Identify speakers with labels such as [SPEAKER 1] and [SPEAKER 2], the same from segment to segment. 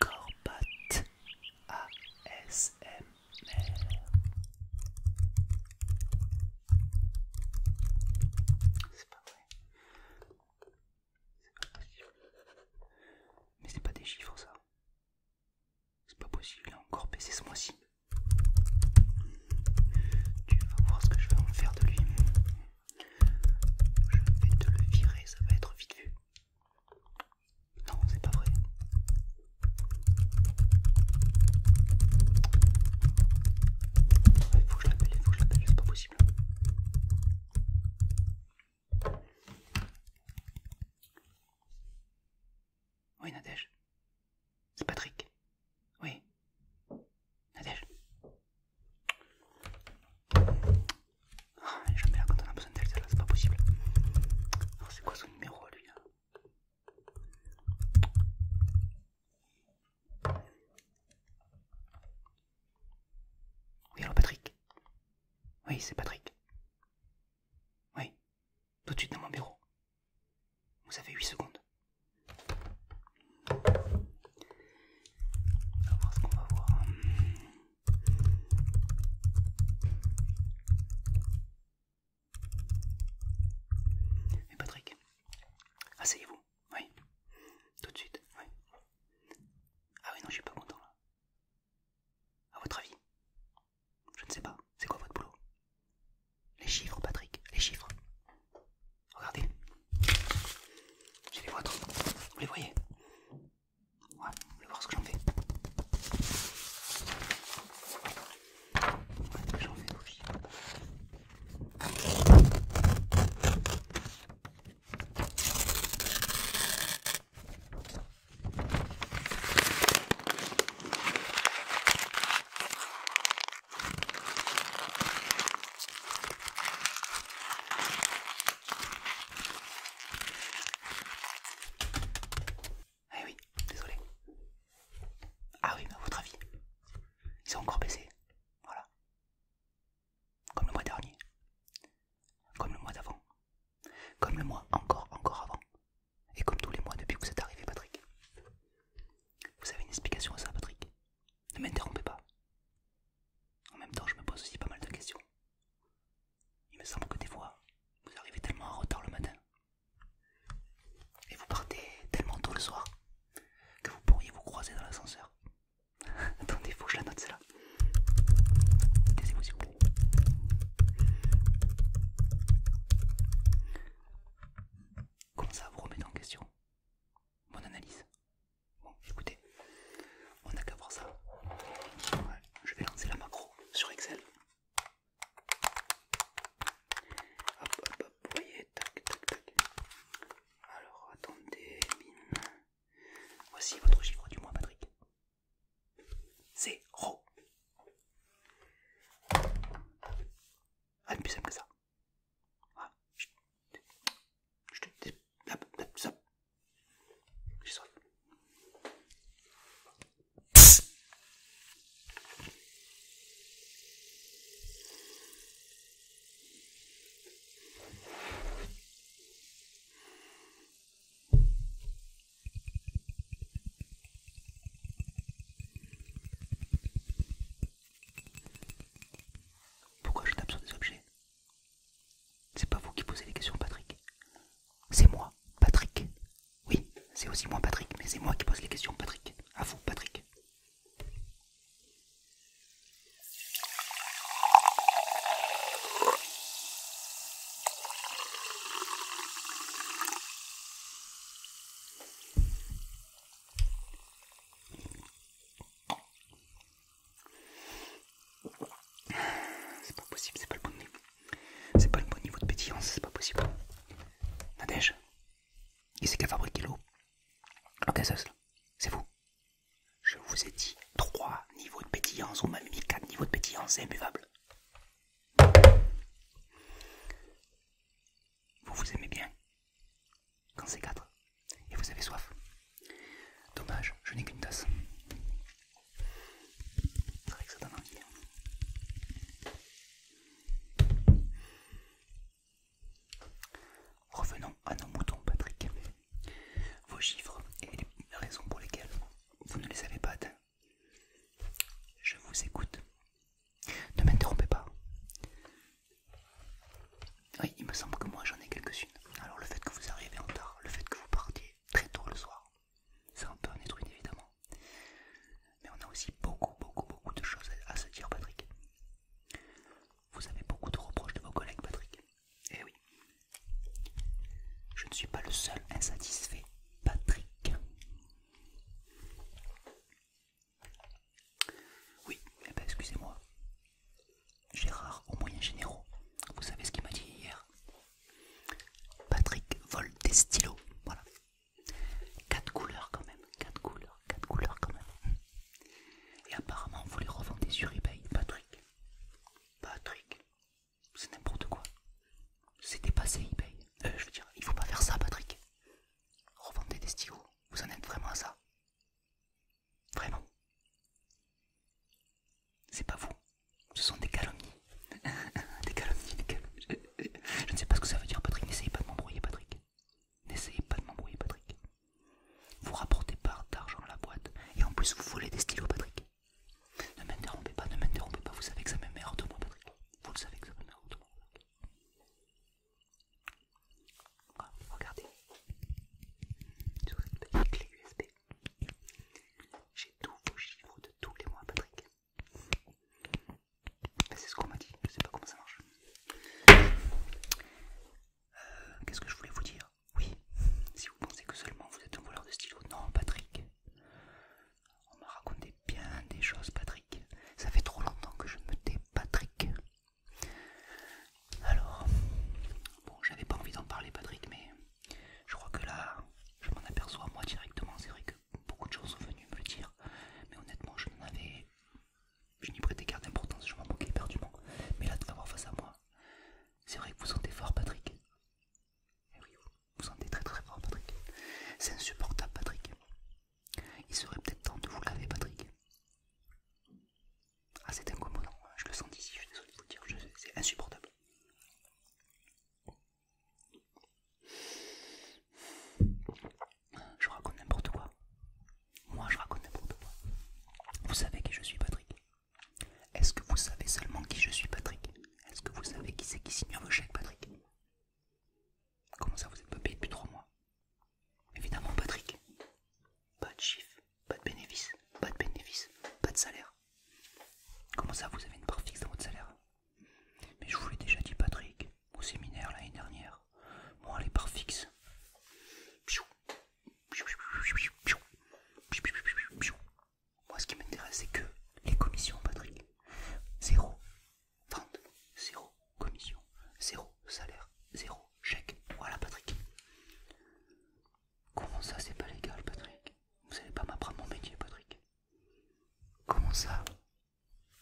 [SPEAKER 1] Corbat ASMR. C'est pas vrai. C'est pas possible. Mais c'est pas des chiffres ça. C'est pas possible, il a encore baissé ce mois-ci. Tu vas voir ce que je vais en faire de lui. Je vais te le virer, ça va être vite vu. Non, c'est pas vrai. Il faut que je l'appelle, il faut que je l'appelle, c'est pas possible. Oui, Nadège. C'est Patrick. Oui. Nadège. Ah, jamais là quand on a besoin d'elle, c'est pas possible. c'est quoi son numéro lui Oui, alors Patrick Oui, c'est Patrick. Oui, tout de suite dans mon bureau. Vous avez 8 secondes. On va voir ce qu'on va voir. Mais Patrick, asseyez-vous, oui. Tout de suite, Ah oui, non, je suis pas content là. À votre avis Je ne sais pas. C'est quoi votre boulot Les chiffres, Patrick, les chiffres. Regardez. J'ai les vôtres. Vous les voyez Ouais, vous voulez voir ce que j'en fais Ouais, j'en fais aussi. Ah oui, désolé. Ah oui, mais à votre avis, ils ont encore baissé. Voilà. Comme le mois dernier. Comme le mois d'avant. Comme le mois encore, encore avant. Et comme tous les mois depuis que vous êtes arrivé, Patrick. Vous avez une explication à ça, Patrick ne m'interrompez pas. En même temps, je me pose aussi pas mal de questions. Il me semble que des fois, vous arrivez tellement en retard le matin et vous partez tellement tôt le soir que vous pourriez vous croiser dans l'ascenseur. Attendez, faut que je la note celle-là. Taisez-vous vous Comment ça vous remettez en question mon analyse. Bon, écoutez, on a qu'à voir ça. Ouais, je vais lancer la macro sur Excel. Hop, hop, hop, voyez, tac, tac, tac. Alors, attendez, mine. Voici votre chiffre du mois, Patrick. Zéro. Ah, plus simple que ça. Ah, Pourquoi je tape sur des objets c'est pas vous qui posez les questions, Patrick. C'est moi, Patrick. Oui, c'est aussi moi, Patrick, mais c'est moi qui pose les questions, Patrick. À vous, Patrick. C'est pas possible, c'est pas le bon niveau. C'est pas le bon niveau de pétillance, c'est pas possible. Nadège, qui c'est qui a fabriqué l'eau Ok, gazeuse, c'est vous. Je vous ai dit 3 niveaux de pétillance, ou même mis 4 niveaux de pétillance, c'est imbuvable. Vous vous aimez bien quand c'est quatre. Et vous avez soif. Dommage, je n'ai qu'une tasse. Hein. Revenons à nos moutons, Patrick. Vos chiffres et les raisons pour lesquelles vous ne les avez pas atteints. Je vous écoute. Ne m'interrompez pas. Oui, il me semble que moi j'en ai quelques-unes. Alors le fait que vous arrivez en tard, le fait que vous partiez très tôt le soir, c'est un peu un évidemment. Mais on a aussi beaucoup, beaucoup, beaucoup de choses à se dire, Patrick. Vous avez beaucoup de reproches de vos collègues, Patrick. Eh oui. Je ne suis pas le seul insatisfait, Patrick. Oui, eh ben, excusez-moi. Gérard au moyen généraux. Vous savez ce qu'il m'a dit hier Patrick vole des stylos. Voilà. Quatre couleurs quand même. Quatre couleurs. Quatre couleurs quand même. Et apparemment, vous les revendez sur eBay. Patrick. Patrick. C'est n'importe quoi. C'est dépassé eBay. Euh, je veux dire, il faut pas faire ça, Patrick. Revendez des stylos. Vous en êtes vraiment à ça Vraiment. C'est pas vous. Ce sont des calomnies. des calomnies, Je, ne sais pas ce que ça veut dire, Patrick. N'essayez pas de m'embrouiller, Patrick. N'essayez pas de m'embrouiller, Patrick. Vous rapportez pas d'argent à la boîte et en plus vous volez des stylos, Patrick. Ne m'interrompez pas, ne m'interrompez pas. Vous savez que ça mère de moi, Patrick. Vous le savez que ça m'énerve de moi regardez, sur cette clé USB, j'ai tous vos chiffres de tous les mois, Patrick. Ben, c'est ce qu'on m'a dit, je sais pas comment ça marche. Euh, qu'est-ce que je voulais vous dire Oui, si vous pensez que seulement vous êtes un voleur de stylo, non, Patrick. On m'a raconté bien des choses, Patrick. Ça fait trop longtemps que je me tais, Patrick. Alors, bon, j'avais pas envie d'en parler, Patrick, mais je crois que là, je m'en aperçois moi directement. C'est vrai que beaucoup de choses sont venues me le dire, mais honnêtement, je n'en avais. Je n'y prêtais garde d'importance, je m'en moquais perdument. Mais là, de l'avoir face à moi, c'est vrai que vous sentez fort, Patrick. Eh oui, vous sentez très très fort, Patrick. C'est insupportable, Patrick. Il serait peut-être temps de vous laver, Patrick. Ah, c'est incommodant, je le sens ici, je suis désolé de vous le dire, c'est insupportable. Je raconte n'importe quoi. Moi, je raconte n'importe quoi. Vous savez qui je suis, Patrick Est-ce que vous savez seulement qui je suis, Patrick Est-ce que vous savez qui c'est qui signe vos chèques, Patrick Comment ça, vous êtes pas payé depuis 3 mois Évidemment, Patrick. Pas de chiffre, pas de bénéfice, pas de bénéfice, pas de salaire. Comment ça, vous avez une part fixe dans votre salaire Mais je vous l'ai déjà dit, Patrick, au séminaire l'année dernière. Moi, les parts fixes. Moi, ce qui m'intéresse, c'est que les commissions, Patrick. Zéro. Vente, zéro commission, zéro salaire, zéro chèque. Voilà, Patrick. Comment ça, c'est pas légal, Patrick Vous savez pas m'apprendre mon métier, Patrick. Comment ça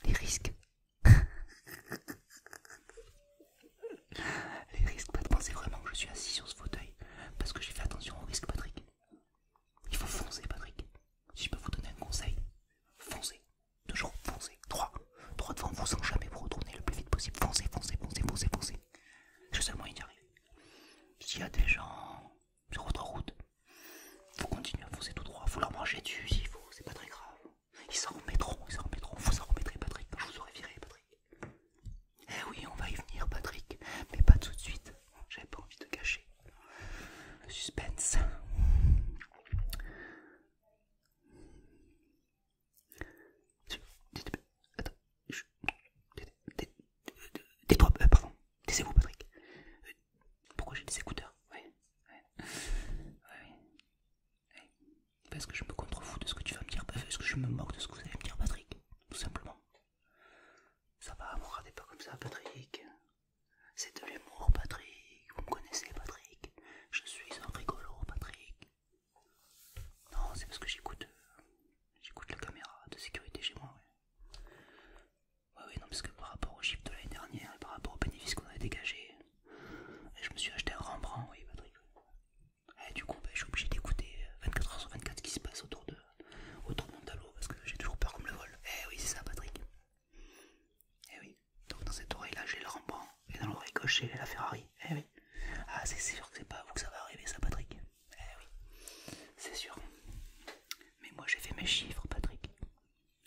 [SPEAKER 1] Les risques. Les risques, Patrick, pensez vraiment que je suis assis sur ce fauteuil parce que j'ai fait attention aux risques, Patrick. Il faut foncer, Patrick. Si je peux vous donner un conseil, foncez. Toujours foncez. droit 3 devant vous sans jamais vous retourner le plus vite possible. Foncez, foncez, foncez, foncez, foncez. C'est seulement une d'y arriver. S'il y a des gens sur votre route, vous continuez à foncer tout droit. Vous leur mangez du s'il faut, c'est pas très grave. Ils s'en remettront, ils s'en remettront. Vous s'en remettrez, Patrick, je vous aurais viré, Patrick. Eh oui, on va y venir, Patrick, mais pas tout de suite. J'avais pas envie de cacher. le suspense. Attends, tais-toi, pardon, taisez-vous Patrick. Pourquoi j'ai des écouteurs Parce que je me contrefous de ce que tu vas me dire, parce que je me moque de ce que vous allez me dire Patrick, tout simplement. Ça va, me regardez pas comme ça Patrick, c'est de l'humour, Patrick. Vous me connaissez, Patrick. Je suis un rigolo, Patrick. Non, c'est parce que j'écoute euh, j'écoute la caméra de sécurité chez moi. Oui Oui non, parce que par rapport au chiffre de l'année dernière et par rapport au bénéfice qu'on avait dégagé je me suis acheté un Rembrandt, oui, Patrick. Et du coup, ben, je suis obligé d'écouter 24h euh, sur 24 ce qui se passe autour de, autour de mon tableau parce que j'ai toujours peur qu'on me le vole. Eh oui, c'est ça, Patrick. Eh oui. Donc dans cette oreille là j'ai le rembrandt et dans l'oreille gauche j'ai la Ferrari. Eh oui. Ah c'est sûr que c'est pas à vous que ça va arriver ça Patrick. Eh oui. C'est sûr. Mais moi j'ai fait mes chiffres Patrick.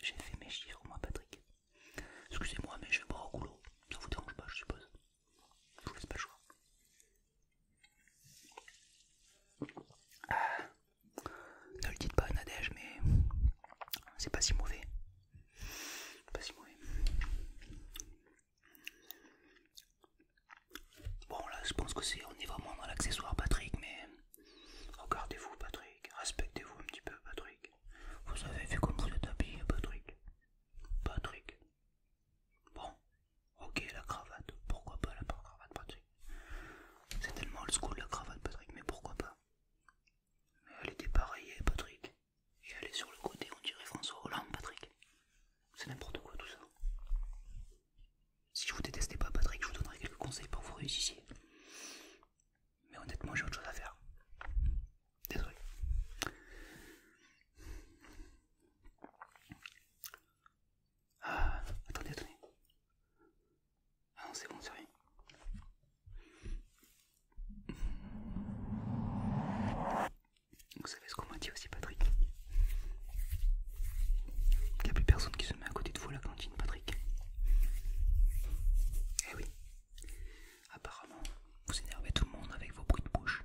[SPEAKER 1] J'ai fait mes chiffres moi Patrick. Excusez-moi mais je vais boire au goulot. Ça vous dérange pas je suppose. Je vous laisse pas le choix. Ah. Ne le dites pas Nadej mais c'est pas si mauvais. Pas si mauvais. Bon là je pense que c'est on est vraiment dans l'accessoire Patrick mais regardez-vous Patrick, respectez-vous un petit peu Patrick. Vous avez vu comme vous êtes habillé Patrick. Patrick. Bon, ok la cravate, pourquoi pas la cravate Patrick c'est tellement old school la cravate, Patrick, mais pourquoi pas Mais elle était dépareillée, eh, Patrick. Et elle est sur le côté, on dirait François Hollande, Patrick. C'est n'importe quoi tout ça. Si je vous détestais pas, Patrick, je vous donnerais quelques conseils pour vous réussissiez. Mais honnêtement, j'ai autre chose à faire. Désolé. Ah, attendez, attendez. Ah c'est bon, c'est rien. Vous savez ce qu'on m'a dit aussi, Patrick Il n'y a plus personne qui se met à côté de vous à la cantine, Patrick. Eh oui. Apparemment, vous énervez tout le monde avec vos bruits de bouche.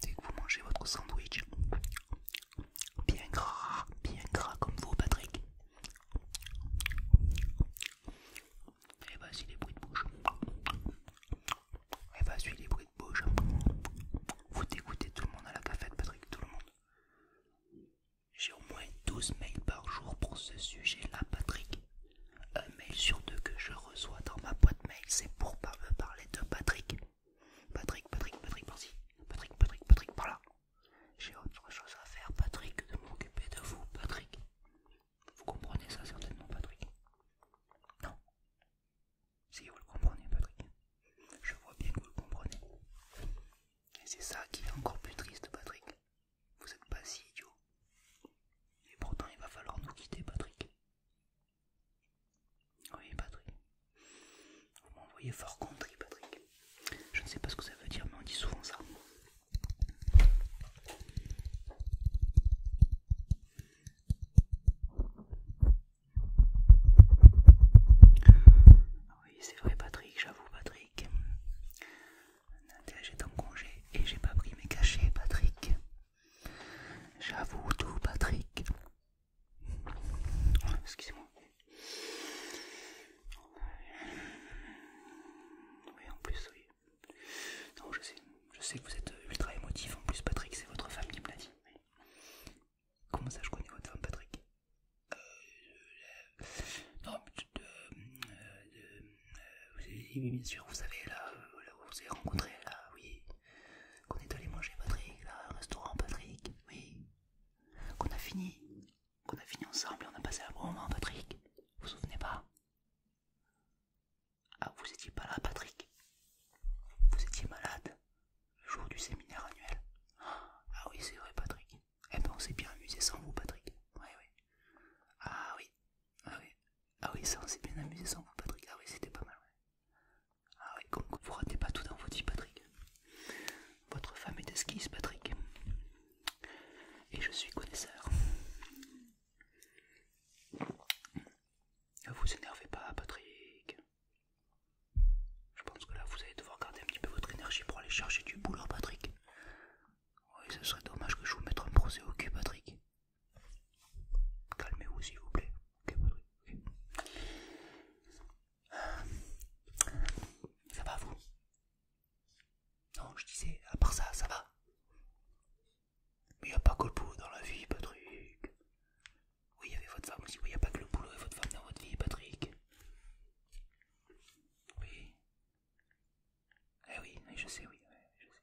[SPEAKER 1] Dès que vous mangez votre sandwich, bien gras, bien gras comme vous, Patrick. Et eh vas-y ben, les bruits de bouche. Et eh vas-y ben, les bruits de bouche. Vous dégoûtez tout le monde à la cafette, Patrick, tout le monde. J'ai au moins 12 mails par jour pour ce sujet-là, Patrick. Un mail sur deux que je reçois dans ma boîte mail, c'est pour me parler de Patrick. Patrick, Patrick, Patrick, par-ci. Patrick, Patrick, Patrick, par-là. J'ai autre chose à faire, Patrick, de m'occuper de vous, Patrick. Vous comprenez ça certainement, Patrick Non Si vous le comprenez, Patrick. Je vois bien que vous le comprenez. Et c'est ça qui est encore plus triste, Patrick. Vous n'êtes pas si idiot. Et pourtant, il va falloir nous quitter, Patrick. Oui, Patrick. Vous m'envoyez fort contrit, Patrick. Je ne sais pas ce que ça veut dire, mais on dit souvent ça. Oui, c'est vrai, Patrick, j'avoue, Patrick. Nadège j'étais en congé et j'ai pas pris mes cachets, Patrick. J'avoue tout, Patrick. Excusez-moi. Oui, en plus, oui. Non, je sais. Je sais que vous êtes euh, ultra émotif. En plus, Patrick, c'est votre femme qui me dit. Comment ça, je connais votre femme, Patrick euh, euh, Non, mais, euh, oui, bien sûr, vous savez, là, où vous avez rencontré, là, oui qu'on est allé manger Patrick, là, restaurant Patrick, oui, qu'on a fini, qu'on a fini ensemble et on a passé un bon moment Patrick, vous vous souvenez pas Ah, vous étiez pas là Patrick, vous étiez malade le jour du séminaire annuel. Ah oui, c'est vrai Patrick, eh ben on s'est bien amusé sans vous Patrick, oui, oui, ah oui, ah oui, ah oui, ça on s'est bien amusé sans vous Patrick, ah oui, c'était pas mal, ah oui, comme vous ratez pas tout dans vos vie Patrick. Votre femme est esquisse, Patrick. Et je suis connaisseur. Ne vous énervez pas, Patrick. Je pense que là, vous allez devoir garder un petit peu votre énergie pour aller chercher du boulot, Patrick. Oui, ce serait dommage que je vous mette un procès au cul, Patrick. Calmez-vous s'il vous plaît. Euh, ça va vous Non, je disais, à part ça, ça va. Mais il a pas que le boulot dans la vie, Patrick. Oui, il y avait votre femme aussi. Oui, il a pas que le boulot et votre femme dans votre vie, Patrick. Oui. Eh oui, je sais, oui, je sais.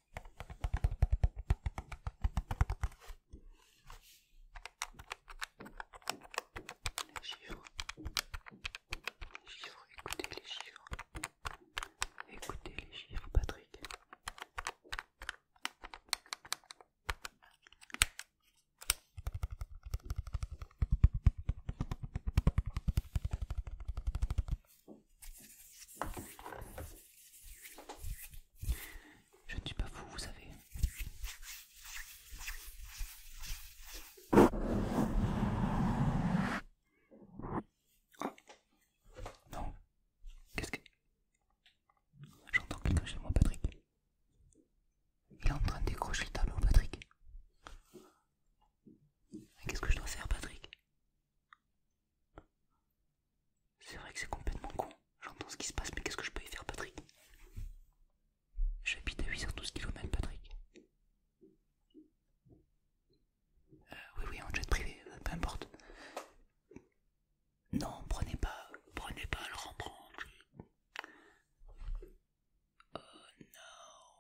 [SPEAKER 1] Les chiffres, les chiffres, écoutez les chiffres, écoutez les chiffres, Patrick. Je ne suis pas fou, vous savez. Non. Qu'est-ce que... J'entends quelqu'un chez moi, Patrick. Il est en train de décrocher le tableau, Patrick. Qu'est-ce que je dois faire, Patrick c'est vrai que c'est complètement con. J'entends ce qui se passe, mais qu'est-ce que je peux y faire, Patrick J'habite à 8h12 km, Patrick. Euh, oui, oui, en jet privé, euh, peu importe. Non, prenez pas, prenez pas le Rembrandt. Oh non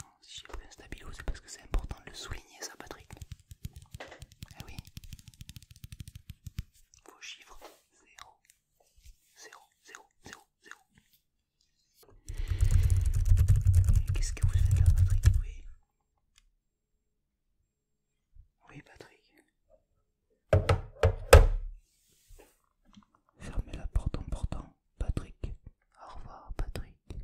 [SPEAKER 1] Non, si j'ai pris un stabilo, c'est parce que c'est important de le souligner ça Patrick. Eh oui. Vos chiffres 0, 0, 0, 0, 0. Qu'est-ce que vous faites là, Patrick Oui. Oui, Patrick. Fermez la porte en portant, Patrick. Au revoir, Patrick.